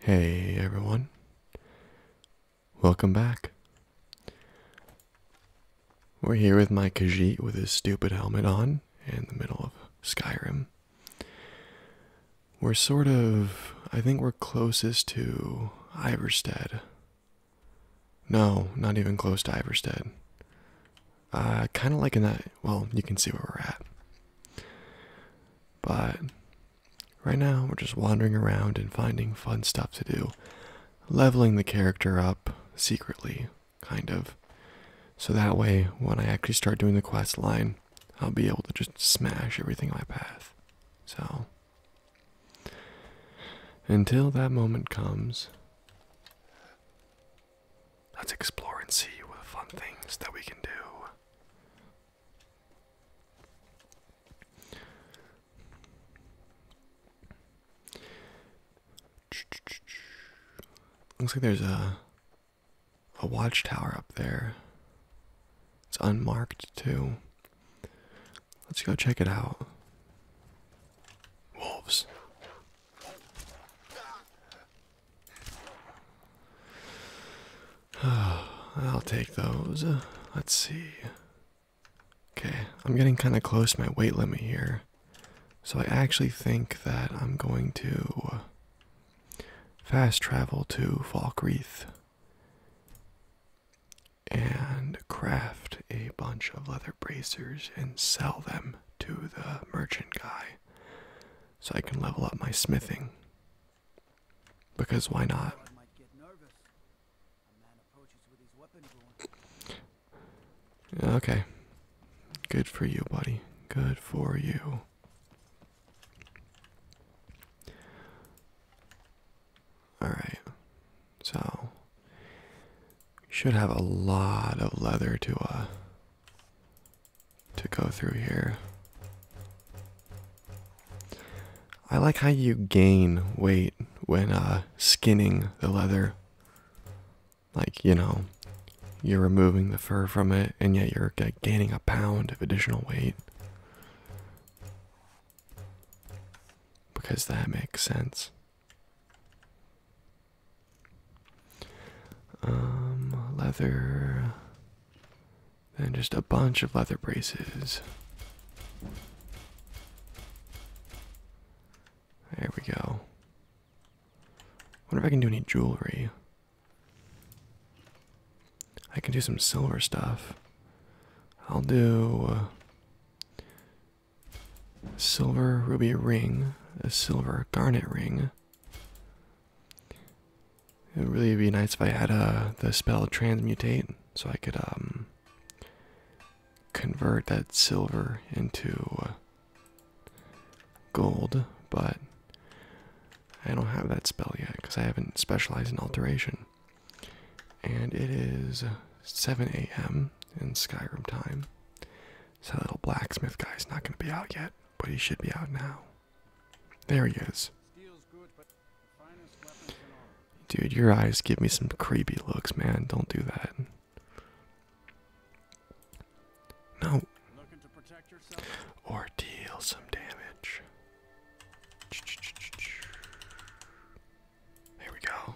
Hey everyone, welcome back. We're here with my Khajiit with his stupid helmet on in the middle of Skyrim. We're sort of, I think we're closest to Iverstead. No, not even close to Iverstead. Uh, kind of like in that. Well, you can see where we're at. But right now, we're just wandering around and finding fun stuff to do, leveling the character up secretly, kind of. So that way, when I actually start doing the quest line, I'll be able to just smash everything in my path. So, until that moment comes, Let's explore and see what fun things that we can do. Looks like there's a a watchtower up there. It's unmarked too. Let's go check it out. Wolves. I'll take those. Let's see. Okay, I'm getting kind of close to my weight limit here. So I actually think that I'm going to fast travel to Falkreath and craft a bunch of leather bracers and sell them to the merchant guy so I can level up my smithing. Because why not? Okay. Good for you, buddy. Good for you. Alright. So should have a lot of leather to uh to go through here. I like how you gain weight when uh skinning the leather. Like, you know, you're removing the fur from it and yet you're gaining a pound of additional weight. Because that makes sense. Um, leather, and just a bunch of leather braces. There we go. Wonder if I can do any jewelry. I can do some silver stuff. I'll do uh, silver ruby ring, a silver garnet ring. It would really be nice if I had uh, the spell transmute so I could um, convert that silver into uh, gold, but I don't have that spell yet because I haven't specialized in alteration. And it is 7 a.m. in Skyrim time. So that little blacksmith guy's not going to be out yet, but he should be out now. There he is. Dude, your eyes give me some creepy looks, man. Don't do that. No. Or deal some damage. There we go.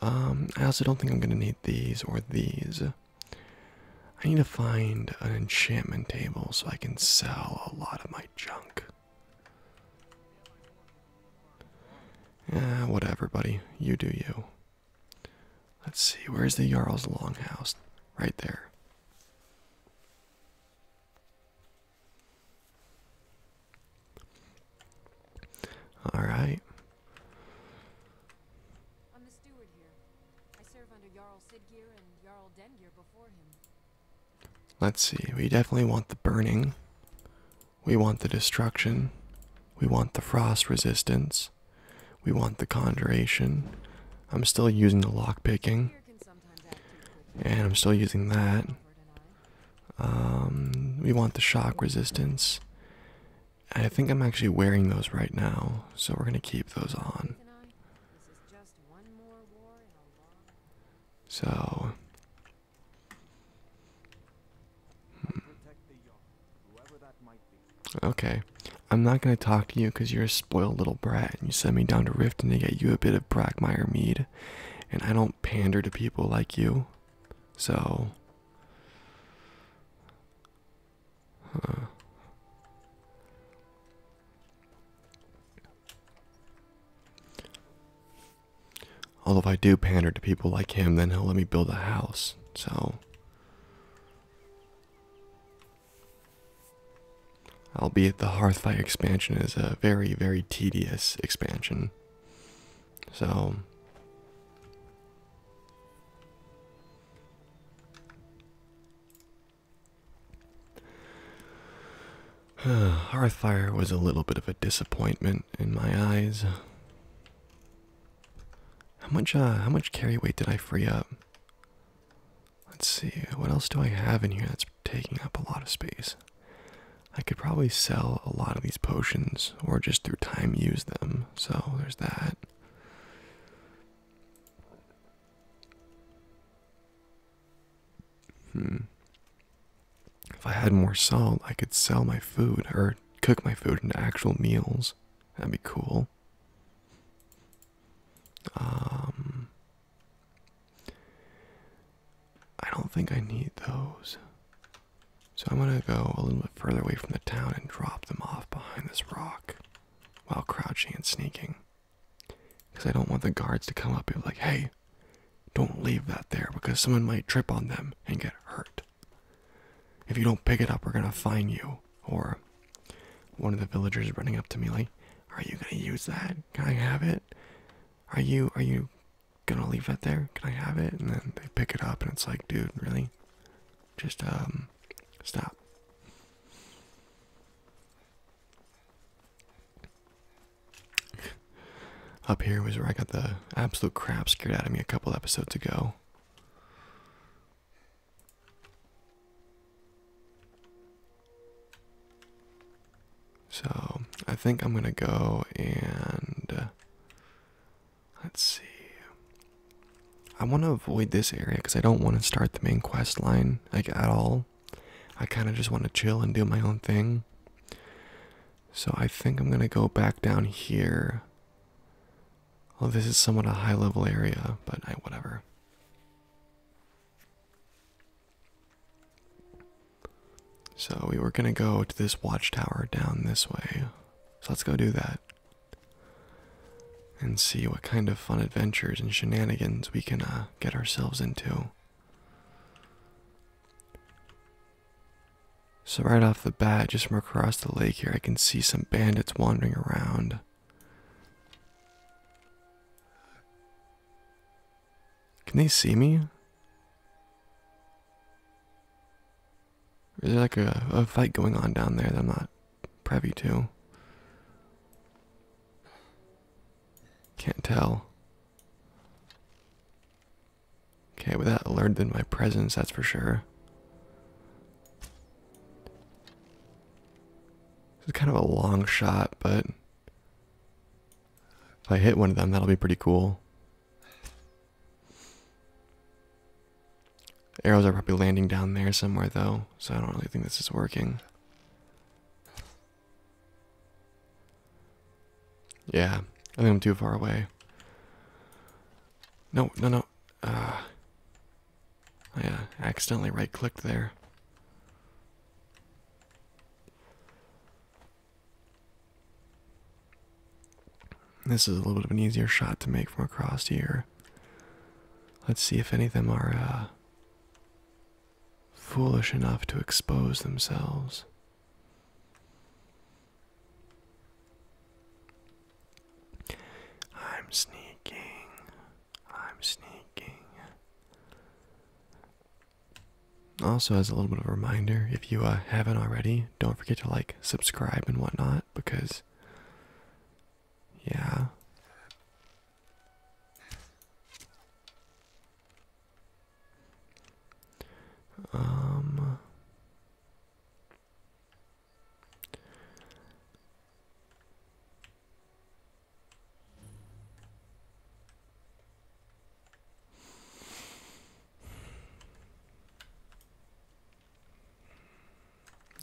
Um, I also don't think I'm gonna need these or these. I need to find an enchantment table so I can sell a lot of my junk. Eh, whatever, buddy. You do you. Let's see, where's the Jarl's Longhouse? Right there. All Let's see. We definitely want the burning. We want the destruction. We want the frost resistance. We want the conjuration. I'm still using the lock picking. And I'm still using that. Um, we want the shock resistance. I think I'm actually wearing those right now, so we're going to keep those on. So. Hmm. Okay. I'm not going to talk to you because you're a spoiled little brat and you sent me down to Riften to get you a bit of Brackmire mead. And I don't pander to people like you. So. Although if I do pander to people like him, then he'll let me build a house. So albeit the Hearthfire expansion is a very, very tedious expansion. So Hearthfire was a little bit of a disappointment in my eyes. How much uh how much carry weight did I free up? Let's see, what else do I have in here that's taking up a lot of space? I could probably sell a lot of these potions or just through time use them. So there's that. Hmm. If I had more salt, I could sell my food or cook my food into actual meals. That'd be cool. Um, I don't think I need those. So I'm gonna go a little bit further away from the town and drop them off behind this rock while crouching and sneaking. Because I don't want the guards to come up and be like, hey, don't leave that there because someone might trip on them and get hurt. If you don't pick it up, we're gonna find you. Or one of the villagers running up to me like, are you gonna use that? Can I have it? Are you are you gonna leave it there. Can I have it? And then they pick it up, and it's like, dude, really? Just um, stop. Up here was where I got the absolute crap scared out of me a couple episodes ago. So I think I'm gonna go and uh, Let's see. I want to avoid this area because I don't want to start the main quest line like at all. I kind of just want to chill and do my own thing. So I think I'm going to go back down here. Oh, this is somewhat a high level area, but I whatever. So we were gonna go to this watchtower down this way. So let's go do that. And see what kind of fun adventures and shenanigans we can uh, get ourselves into. So, right off the bat, just from across the lake here, I can see some bandits wandering around. Can they see me? There's like a, fight going on down there that I'm not privy to. Can't tell. Okay, well that alerted my presence, that's for sure. This is kind of a long shot, but if I hit one of them, that'll be pretty cool. Arrows are probably landing down there somewhere, though, so I don't really think this is working. Yeah, I think I'm too far away. No, no, no. Uh, I uh, accidentally right clicked there. This is a little bit of an easier shot to make from across here. Let's see if any of them are uh, foolish enough to expose themselves. I'm sneaking. I'm sneaking. Also, as a little bit of a reminder, if you uh, haven't already, don't forget to like, subscribe, and whatnot because, yeah. Um.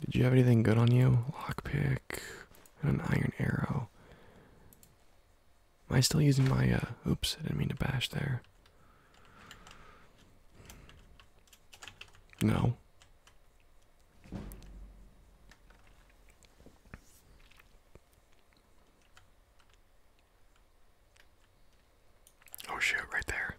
Did you have anything good on you? Lockpick and an iron arrow. Am I still using my, uh, oops, I didn't mean to bash there. No. Oh shoot, right there.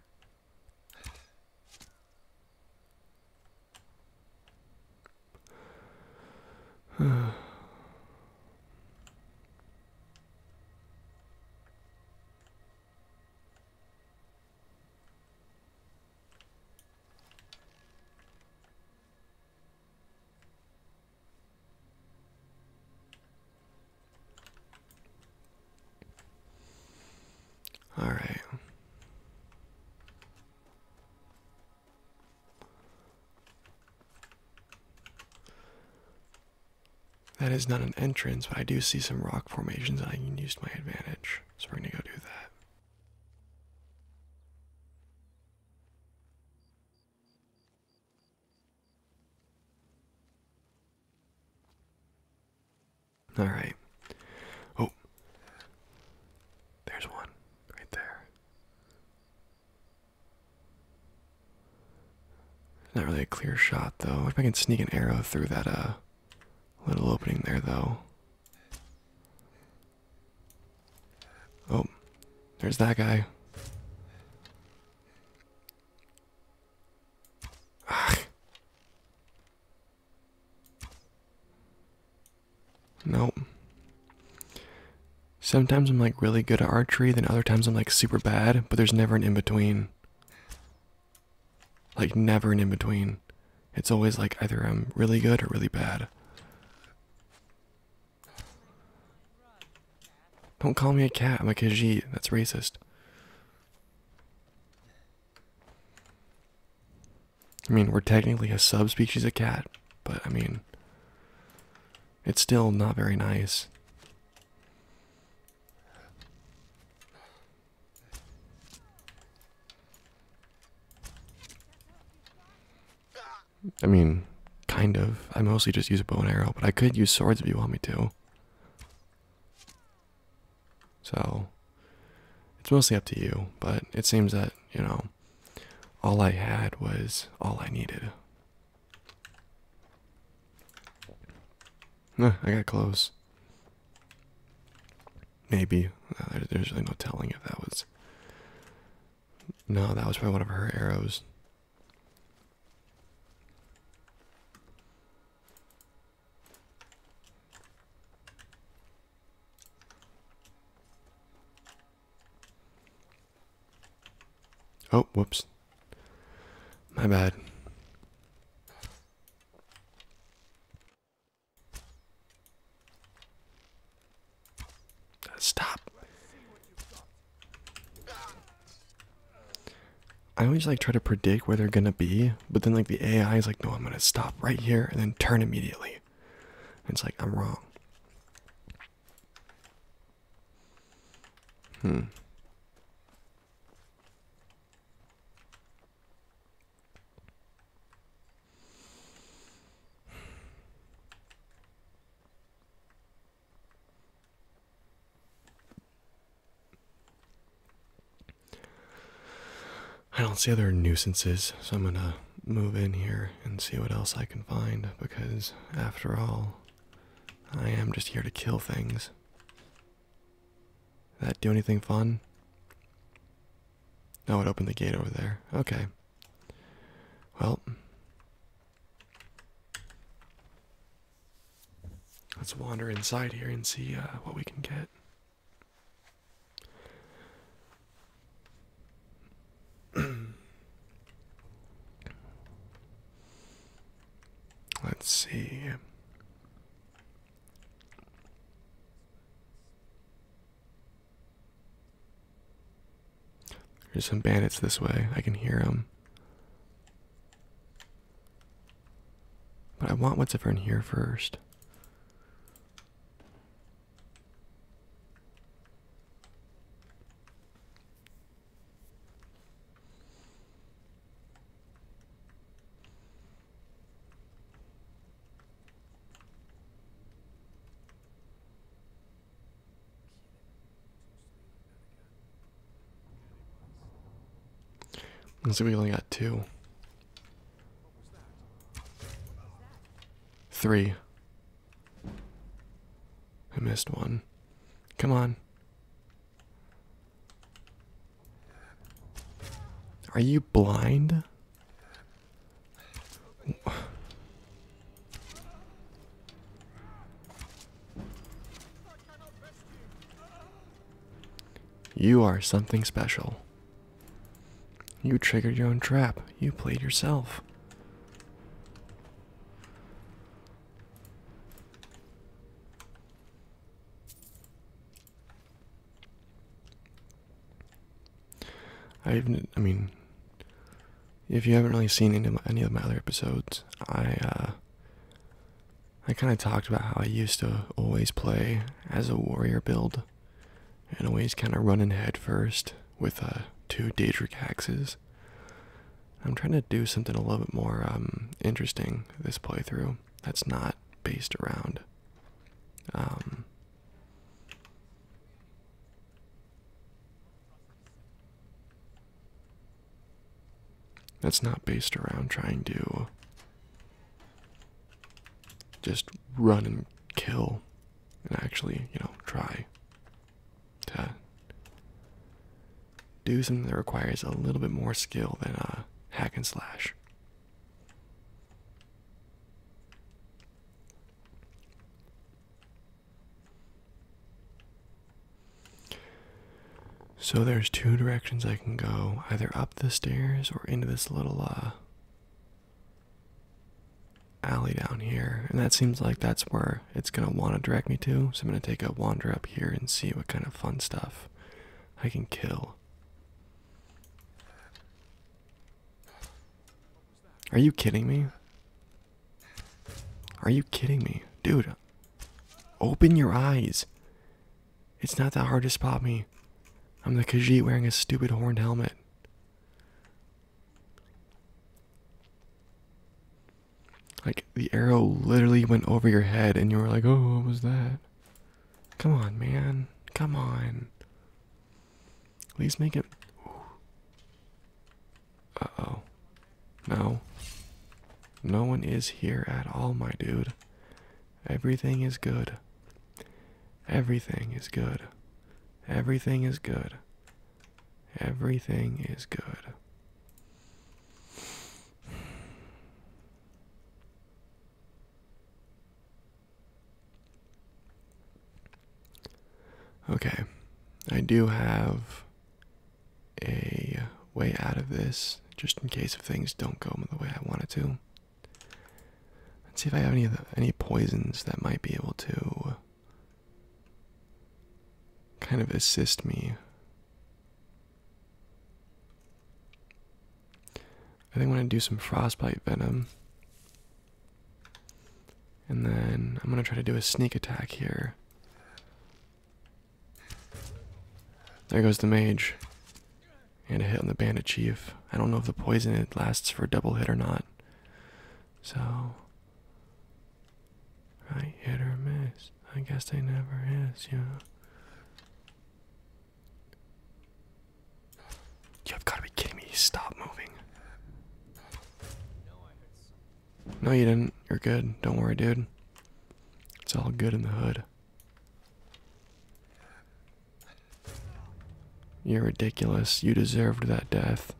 All right. That is not an entrance, but I do see some rock formations that I can use to my advantage. So we're going to go do that. All right. Oh, there's one right there. Not really a clear shot though. If I can sneak an arrow through that uh little opening there though. Oh, there's that guy. Nope. Sometimes I'm like really good at archery, then other times I'm like super bad, but there's never an in between. Like, never an in between. It's always like either I'm really good or really bad. Don't call me a cat. I'm a Khajiit. That's racist. I mean, we're technically a subspecies of cat, but I mean, it's still not very nice. I mean, kind of. I mostly just use a bow and arrow, but I could use swords if you want me to. So it's mostly up to you, but it seems that, you know, all I had was all I needed. Huh, I got close. Maybe. Uh, there's really no telling if that was. No, that was probably one of her arrows. Oh, whoops. My bad. Stop. I always like try to predict where they're gonna be, but then like the AI is like, no, I'm gonna stop right here and then turn immediately. And it's like I'm wrong. Hmm. I don't see other nuisances, so I'm gonna move in here and see what else I can find because, after all, I am just here to kill things. that do anything fun? No, oh, it opened the gate over there. Okay. Well, Let's wander inside here and see uh, what we can get. Let's see. There's some bandits this way. I can hear them. But I want what's ever in here first. Looks like we only got two. Three. I missed one. Come on. Are you blind? You are something special. You triggered your own trap. You played yourself. I even, I mean, if you haven't really seen any of my, any of my other episodes, I uh, I kind of talked about how I used to always play as a warrior build and always kind of running head first with uh, two Daedric axes. I'm trying to do something a little bit more um, interesting this playthrough that's not based around. Um, that's not based around trying to just run and kill and actually, you know, try to do something that requires a little bit more skill than a hack and slash. So there's two directions I can go, either up the stairs or into this little uh, alley down here. And that seems like that's where it's going to want to direct me to. So I'm going to take a wander up here and see what kind of fun stuff I can kill. Are you kidding me? Are you kidding me? Dude, open your eyes. It's not that hard to spot me. I'm the Khajiit wearing a stupid horned helmet. Like, the arrow literally went over your head, and you were like, oh, what was that? Come on, man. Come on. At least make it. Uh oh. No. No one is here at all, my dude. Everything is good. Everything is good. Everything is good. Everything is good. Okay, I do have a way out of this just in case if things don't go the way I want it to. Let's see if I have any any poisons that might be able to kind of assist me. I think I'm gonna do some frostbite venom. And then I'm gonna try to do a sneak attack here. There goes the mage. And a hit on the bandit chief. I don't know if the poison it lasts for a double hit or not. So I hit or miss. I guess they never is, yeah. You've got to be kidding me. Stop moving. No, you didn't. You're good. Don't worry, dude. It's all good in the hood. You're ridiculous. You deserved that death.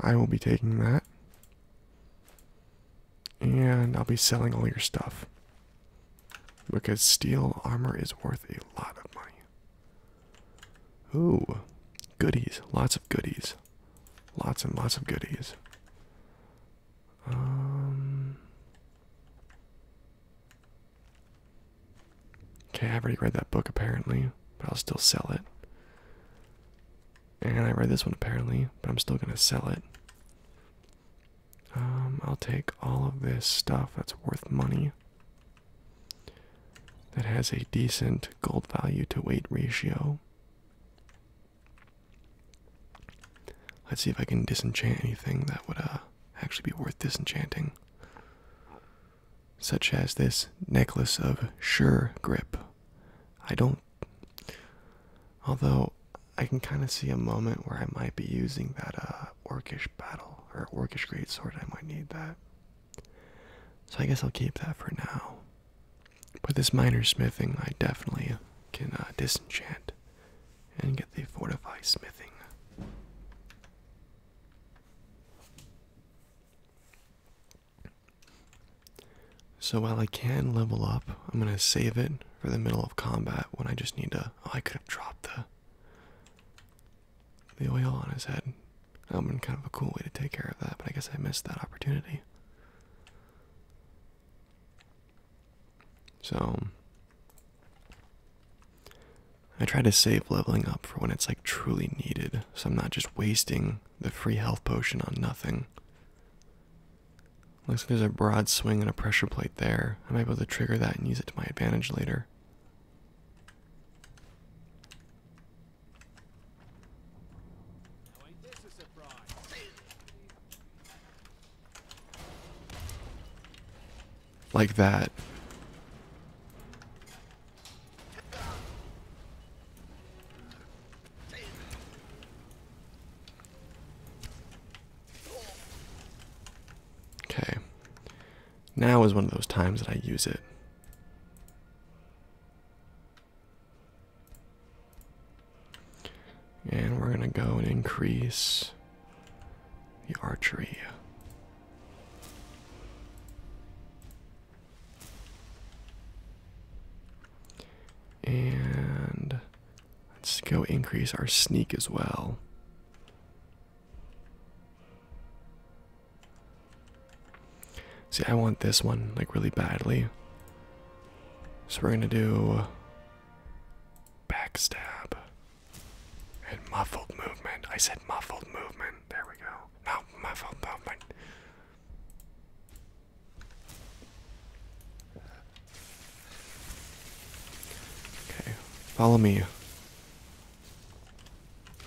I will be taking that. And I'll be selling all your stuff. Because steel armor is worth a lot of money. Ooh, goodies. Lots of goodies. Lots and lots of goodies. Um, okay, I've already read that book apparently, but I'll still sell it. And I read this one apparently, but I'm still gonna sell it. Um, I'll take all of this stuff that's worth money that has a decent gold value to weight ratio. Let's see if I can disenchant anything that would uh, actually be worth disenchanting, such as this necklace of sure grip. I don't, although I can kind of see a moment where I might be using that uh, orcish battle or orcish great sword. I might need that. So I guess I'll keep that for now. But this minor smithing, I definitely can uh, disenchant and get the fortify smithing. So while I can level up, I'm gonna save it for the middle of combat when I just need to. Oh, I could have dropped the the oil on his head. would've been kind of a cool way to take care of that, but I guess I missed that opportunity. So, I try to save leveling up for when it's like truly needed, so I'm not just wasting the free health potion on nothing. Looks like there's a broad swing and a pressure plate there. I'm able to trigger that and use it to my advantage later. Like that. Okay. Now is one of those times that I use it. And we're going to go and increase the archery. And let's go increase our sneak as well. See, I want this one like really badly. So we're gonna do backstab and muffled movement. I said muffled movement. There we go. muffled movement. Okay, follow me.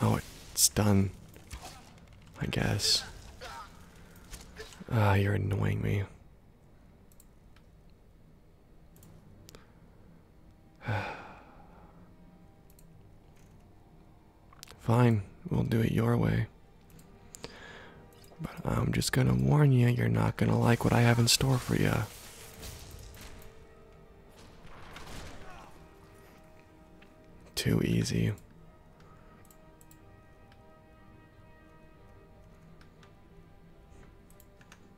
Oh, it's done. I guess. Ah, you're annoying me. Fine, we'll do it your way. But I'm just gonna warn you, you're not gonna like what I have in store for you. Too easy.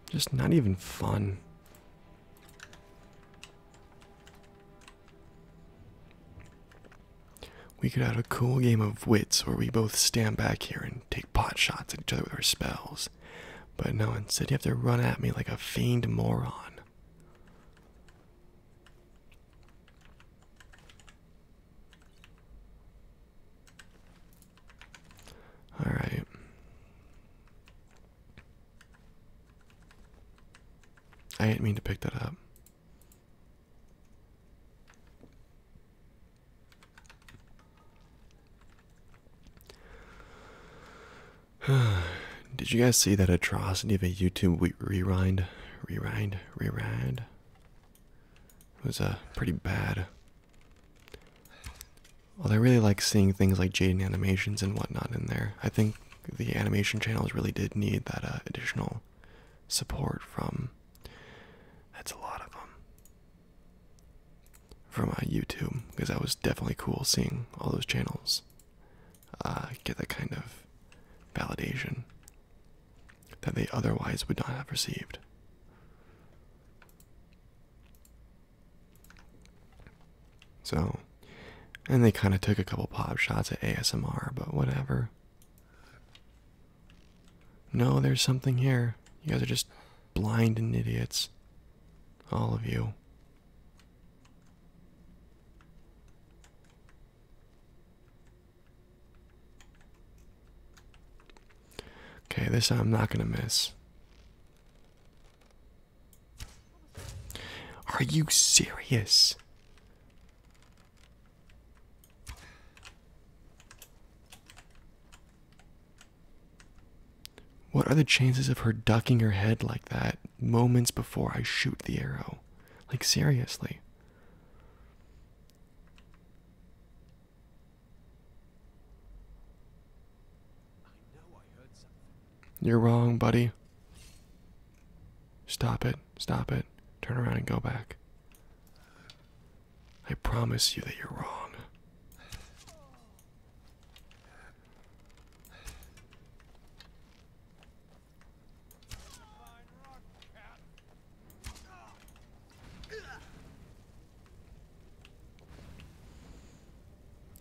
Just not even fun. We could have a cool game of wits where we both stand back here and take pot shots at each other with our spells. But no, one said you have to run at me like a fiend, moron. All right. I didn't mean to pick that up. Did you guys see that atrocity of a YouTube rewind? Rewind? Rewind? It was uh, pretty bad. Well, I really like seeing things like Jaden animations and whatnot in there. I think the animation channels really did need that uh, additional support from. That's a lot of them. From my uh, YouTube, because that was definitely cool seeing all those channels uh, get that kind of validation that they otherwise would not have received. So, and they kind of took a couple pop shots at ASMR, but whatever. No, there's something here. You guys are just blind and idiots. All of you. Okay, this I'm not gonna miss. Are you serious? What are the chances of her ducking her head like that moments before I shoot the arrow? Like, seriously. You're wrong, buddy. Stop it. Stop it. Turn around and go back. I promise you that you're wrong.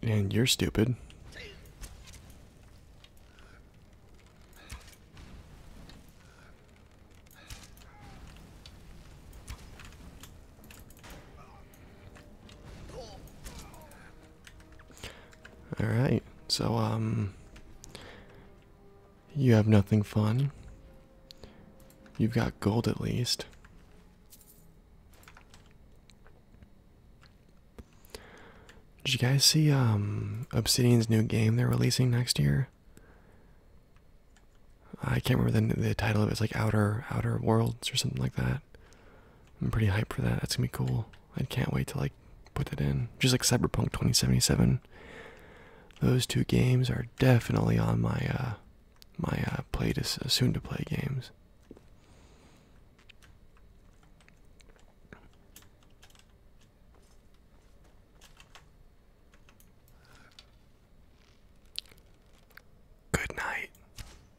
And you're stupid. All right. So um you have nothing fun. You've got gold at least. Did you guys see um Obsidian's new game they're releasing next year? I can't remember the the title of it. It's like Outer Outer Worlds or something like that. I'm pretty hyped for that. That's gonna be cool. I can't wait to like put that in. Just like Cyberpunk 2077. Those two games are definitely on my uh my uh play to uh, soon to play games. Good night.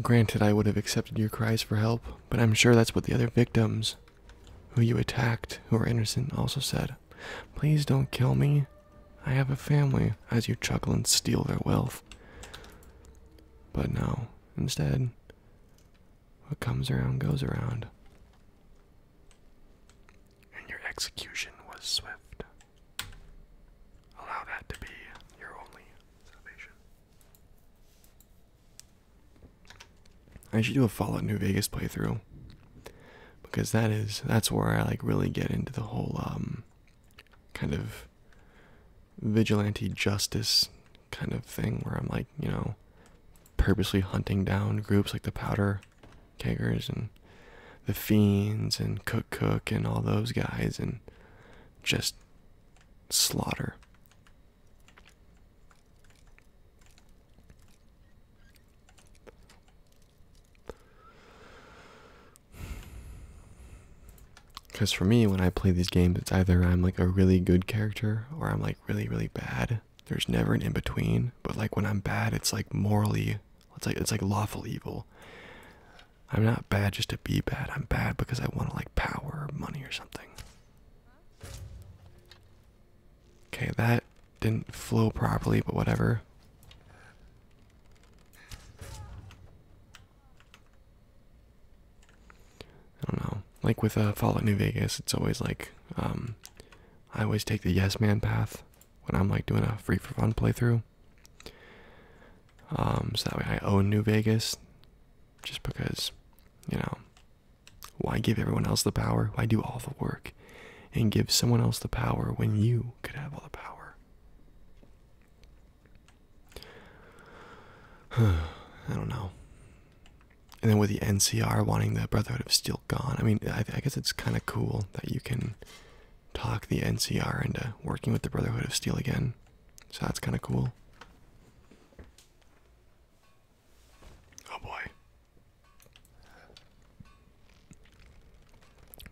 Granted, I would have accepted your cries for help, but I'm sure that's what the other victims who you attacked, who were innocent, also said. Please don't kill me. I have a family, as you chuckle and steal their wealth. But now, instead, what comes around goes around. And your execution was swift. Allow that to be your only salvation. I should do a Fallout New Vegas playthrough because that is that's where I like really get into the whole um kind of vigilante justice kind of thing where I'm like, you know, purposely hunting down groups like the powder keggers and the fiends and cook cook and all those guys and just slaughter. Because for me, when I play these games, it's either I'm like a really good character or I'm like really, really bad. There's never an in between. But like when I'm bad, it's like morally, it's like it's like lawful evil. I'm not bad just to be bad. I'm bad because I want to like power or money or something. Okay, that didn't flow properly, but whatever. I don't know. Like with a uh, Fallout New Vegas, it's always like um, I always take the yes man path when I'm like doing a free for fun playthrough. Um, so that way I own New Vegas, just because, you know, why give everyone else the power? Why do all the work and give someone else the power when you could have all the power? I don't know. And then with the NCR wanting the Brotherhood of Steel gone, I mean, I guess it's kind of cool that you can talk the NCR into working with the Brotherhood of Steel again. So that's kind of cool. Oh boy.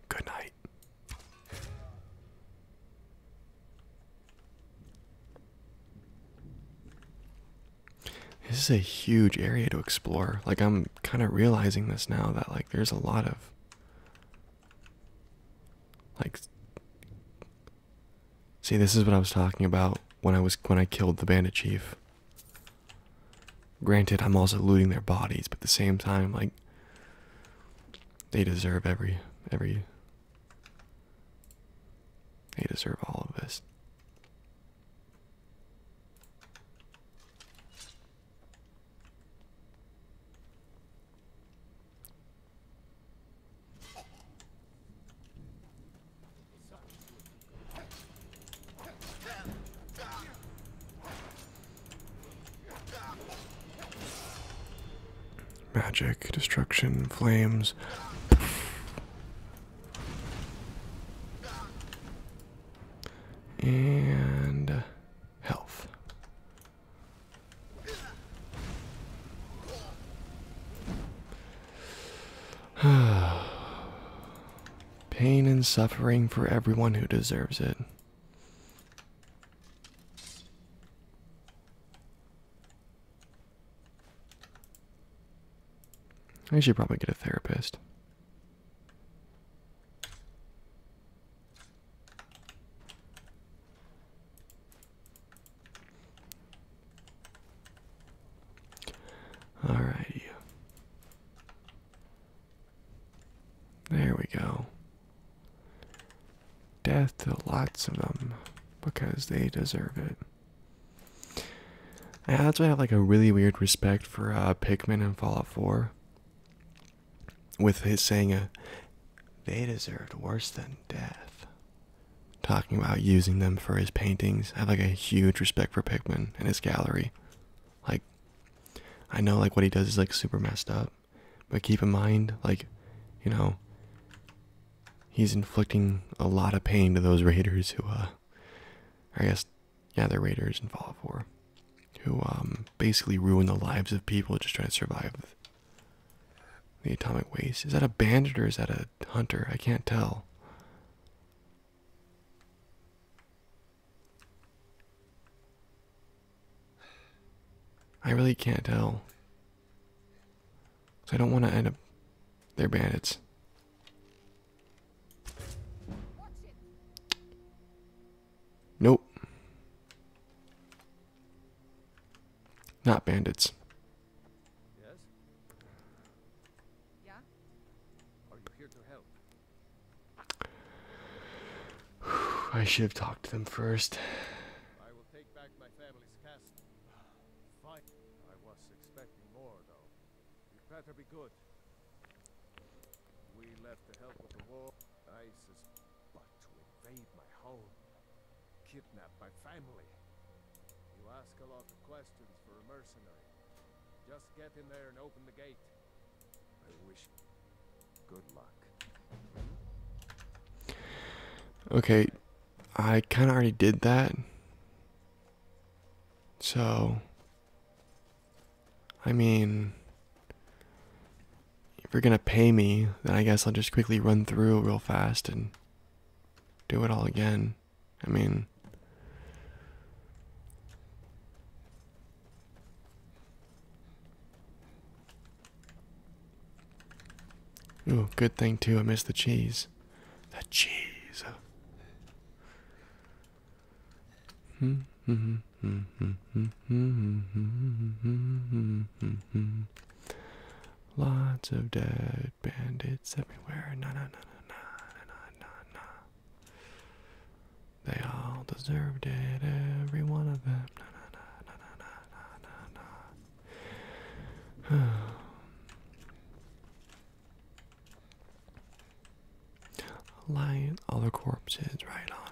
Good night. This is a huge area to explore. Like I'm kind of realizing this now that like there's a lot of like See, this is what I was talking about when I was when I killed the bandit chief. Granted, I'm also looting their bodies, but at the same time, like they deserve every every they deserve all of this. Magic, destruction, flames. And health. Pain and suffering for everyone who deserves it. I should probably get a therapist. All righty. There we go. Death to lots of them because they deserve it. That's why I have like a really weird respect for uh, Pikmin and Fallout 4 with his saying, uh, they deserved worse than death. Talking about using them for his paintings, I have like a huge respect for Pickman and his gallery. Like, I know like what he does is like super messed up, but keep in mind, like, you know, he's inflicting a lot of pain to those raiders who, uh, I guess, yeah, they're raiders in Fallout 4 who um, basically ruin the lives of people just trying to survive the atomic waste. Is that a bandit or is that a hunter? I can't tell. I really can't tell. So I don't want to end up. They're bandits. Nope. Not bandits. Yes? Yeah? Are you here to help? I should have talked to them first. I will take back my family's castle. Fine. I was expecting more, though. You better be good. We left the help of the war. ISIS. You ask a lot of questions for a mercenary. Just get in there and open the gate. I wish good luck. Okay, I kind of already did that. So, I mean, if you're gonna pay me, then I guess I'll just quickly run through real fast and do it all again. I mean, ooh, good thing too. I missed the cheese. The cheese. Hmm. -hmm. Lots of dead bandits everywhere. Na na na na na na na na. They all deserved it, every one of them. Na na na na na na na na. Lying all the corpses right on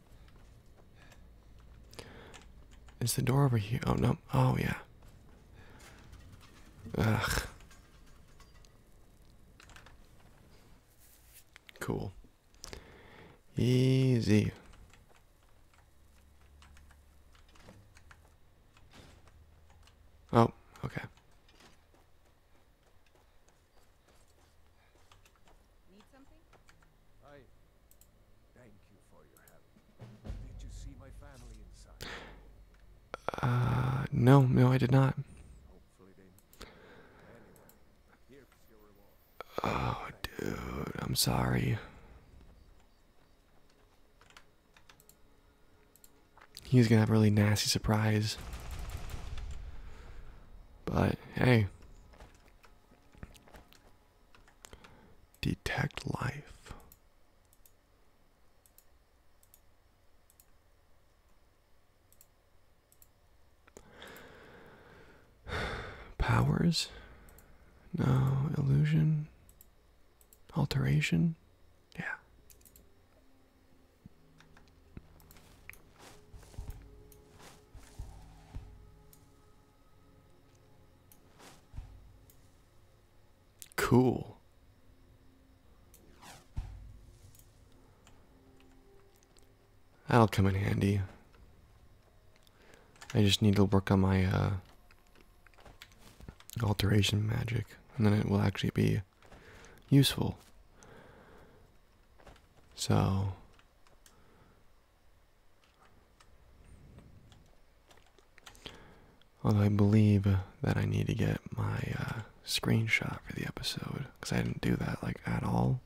Is the door over here? Oh no. Oh yeah. Ugh. Cool. Easy. Oh, okay. Need something? I thank you for your help. Did you see my family inside? Uh, no, no, I did not. Oh, dude, I'm sorry. He's gonna have a really nasty surprise. But hey, Detect life. Powers? No. Illusion? Alteration? Yeah. Cool. That'll come in handy. I just need to work on my uh, alteration magic, and then it will actually be useful. So, Although I believe that I need to get my uh, screenshot for the episode because I didn't do that like at all.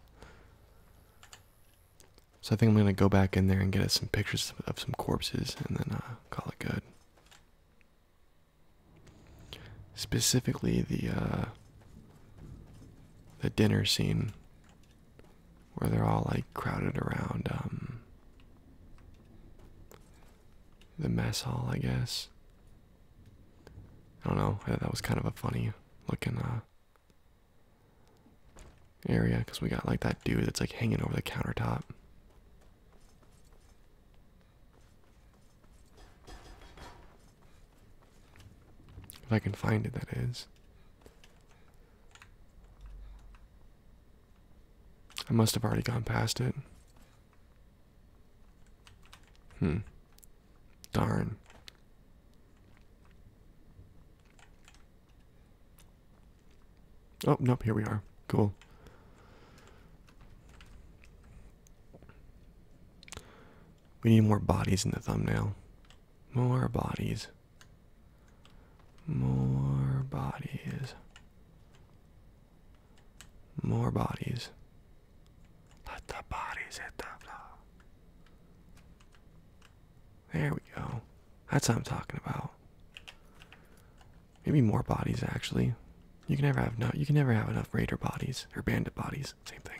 So I think I'm going to go back in there and get us some pictures of some corpses and then uh, call it good. Specifically the uh, the dinner scene where they're all like crowded around um, the mess hall, I guess. I don't know. I thought that was kind of a funny looking uh, area because we got like that dude that's like hanging over the countertop. If I can find it, that is. I must have already gone past it. Hmm. Darn. Oh, nope, here we are. Cool. We need more bodies in the thumbnail. More bodies. More bodies. More bodies. Let the bodies hit the floor. There we go. That's what I'm talking about. Maybe more bodies actually. You can never have no you can never have enough raider bodies or bandit bodies. Same thing.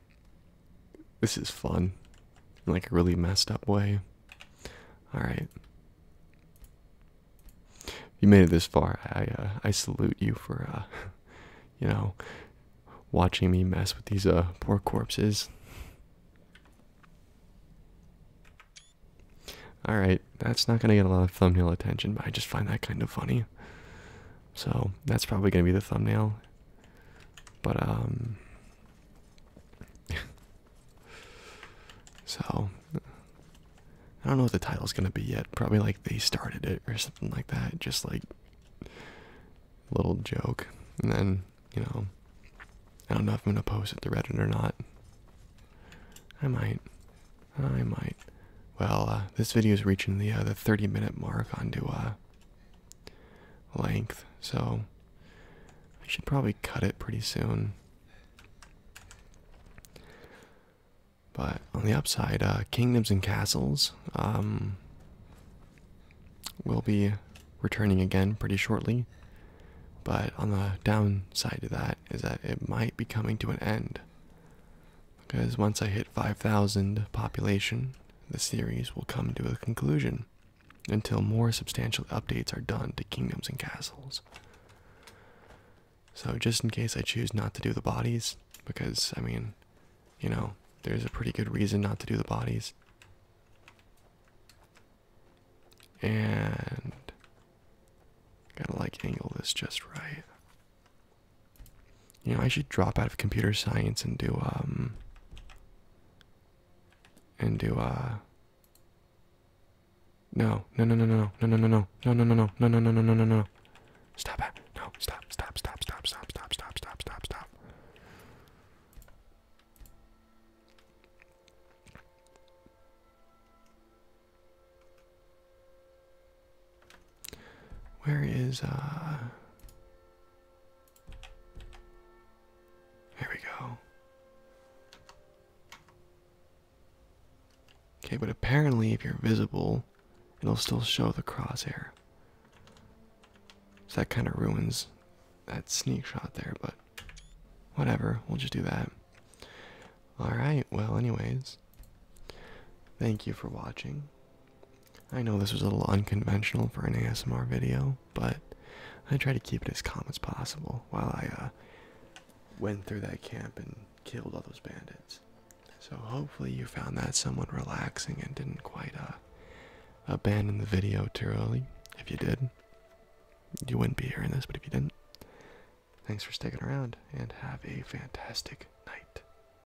This is fun in like a really messed up way. Alright. You made it this far. I uh, I salute you for uh, you know watching me mess with these uh poor corpses. Alright, that's not gonna get a lot of thumbnail attention, but I just find that kind of funny. So that's probably going to be the thumbnail. But, um. so. I don't know what the title's going to be yet. Probably like they started it or something like that. Just like. Little joke. And then, you know. I don't know if I'm going to post it to Reddit or not. I might. I might. Well, uh, this video is reaching the uh, the 30 minute mark onto uh, length, so I should probably cut it pretty soon. But on the upside, uh, Kingdoms and Castles um, will be returning again pretty shortly. But on the downside to that is that it might be coming to an end. Because once I hit 5,000 population, the series will come to a conclusion until more substantial updates are done to kingdoms and castles. So, just in case I choose not to do the bodies, because I mean, you know, there's a pretty good reason not to do the bodies. And gotta like angle this just right. You know, I should drop out of computer science and do um and do uh no, no, no, no, no, no, no, no, no, no, no, no, no, no, no, no, no, no, no, no. Stop it. No, stop, stop, stop, stop, stop, stop, stop, stop, stop, stop. Where is, uh. There we go. Okay, but apparently, if you're visible, it'll still show the crosshair. So that kind of ruins that sneak shot there, but whatever, we'll just do that. Alright, well, anyways, thank you for watching. I know this was a little unconventional for an ASMR video, but I try to keep it as calm as possible while I uh, went through that camp and killed all those bandits. So hopefully you found that somewhat relaxing and didn't quite uh, abandon the video too early. If you did, you wouldn't be hearing this, but if you didn't, thanks for sticking around and have a fantastic night.